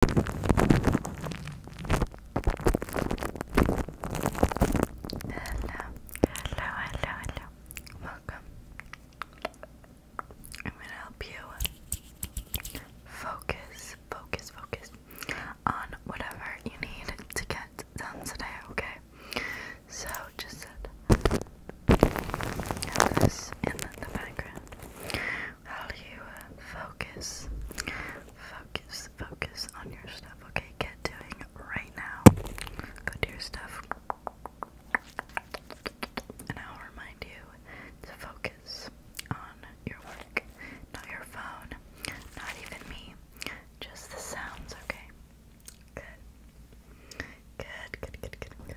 hello, hello, hello. Welcome. I'm gonna help you focus, focus, focus on whatever you need to get done today, okay? So just sit. this in the background value, uh, focus, focus, focus on your stuff. Okay, get doing right now. Go do your stuff. And I'll remind you to focus on your work, not your phone, not even me, just the sounds, okay? Good. Good, good, good, good, good.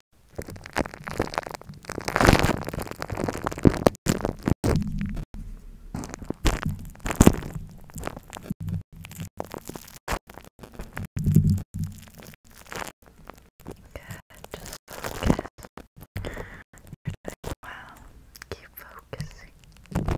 just focus. You're doing well. Keep focusing. Good.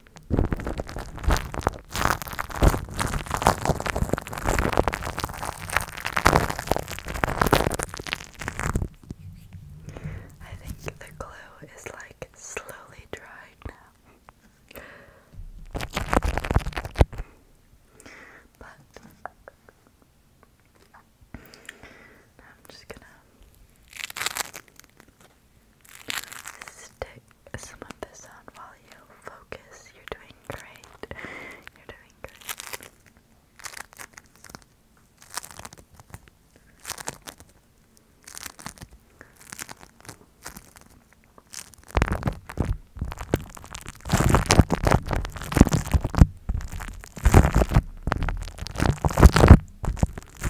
I think the glue is like slowly dried now. But I'm just gonna Stick some of this on while you focus. You're doing great. You're doing great. Okay. I'm gonna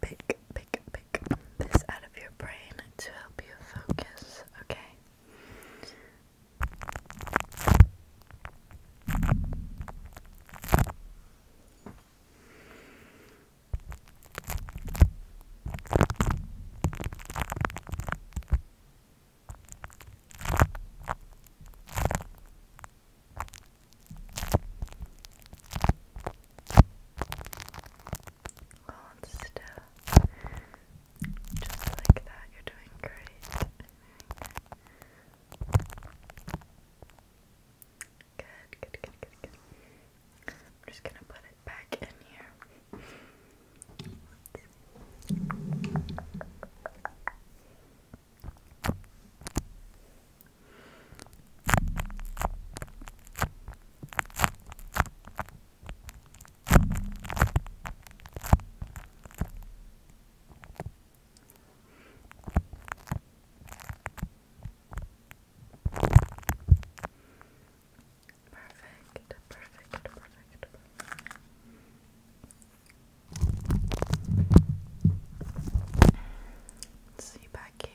pick, pick, pick this out of your brain to help you focus, okay? Okay. Hold still. Just like that, you're doing great. Good, good, good, good, good. I'm just gonna put it back in here. Perfect, perfect, perfect. see back here.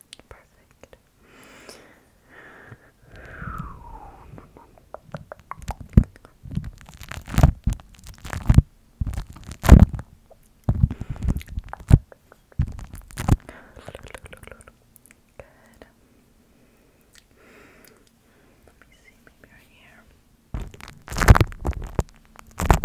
Perfect. Good. Let me see, maybe right here. Perfect.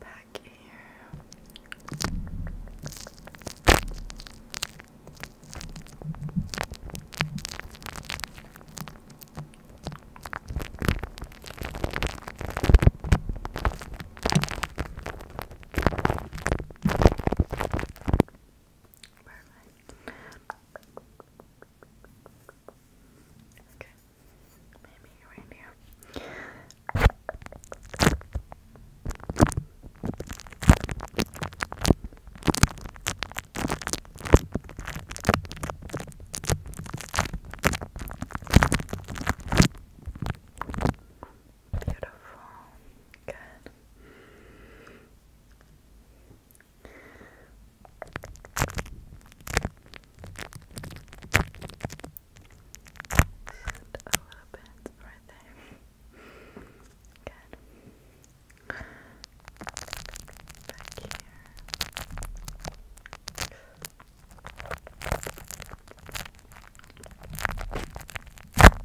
Back here. Perfect. Okay. Maybe right here. Okay. Beautiful. Good. And a little bit right there. Good. Back here. Got it. Just perfect.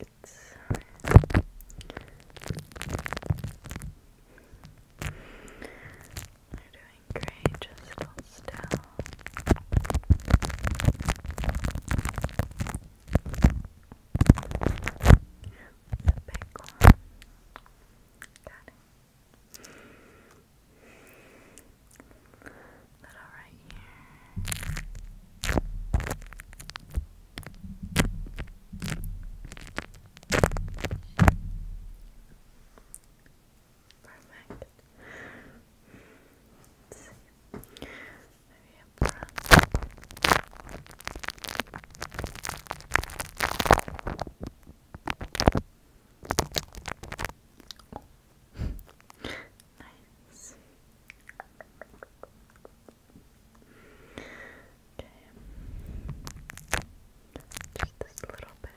It's you're doing great, just hold still. It's a big one. Got Little right here. Perfect. let Maybe up front. nice. Okay. Just this little bit.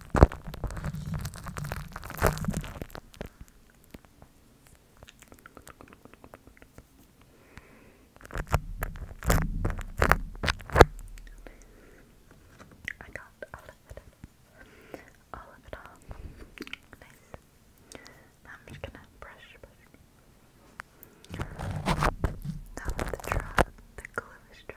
I got all of it all of it off. Nice. Now I'm just gonna brush, brush. Now that the, dry, the glue is dry,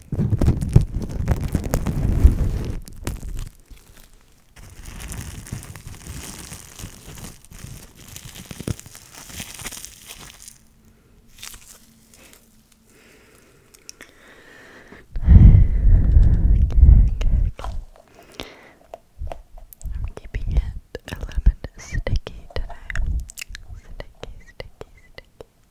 I'm keeping it a little bit sticky today. Sticky, sticky, sticky.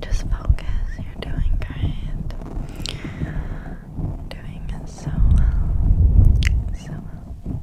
Just focus, you're doing great. Doing it so well. So well.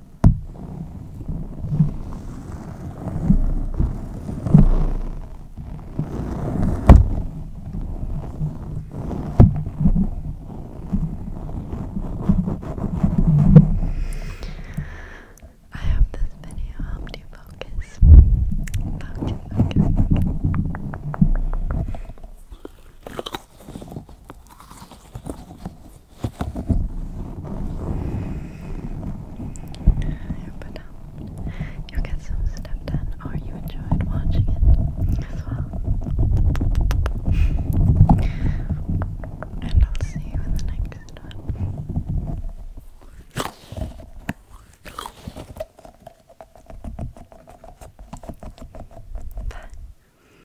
I hope this video helped you focus. Focus, focus. But um, you get some stuff done, or you enjoyed watching it as well. And I'll see you in the next one. Bye.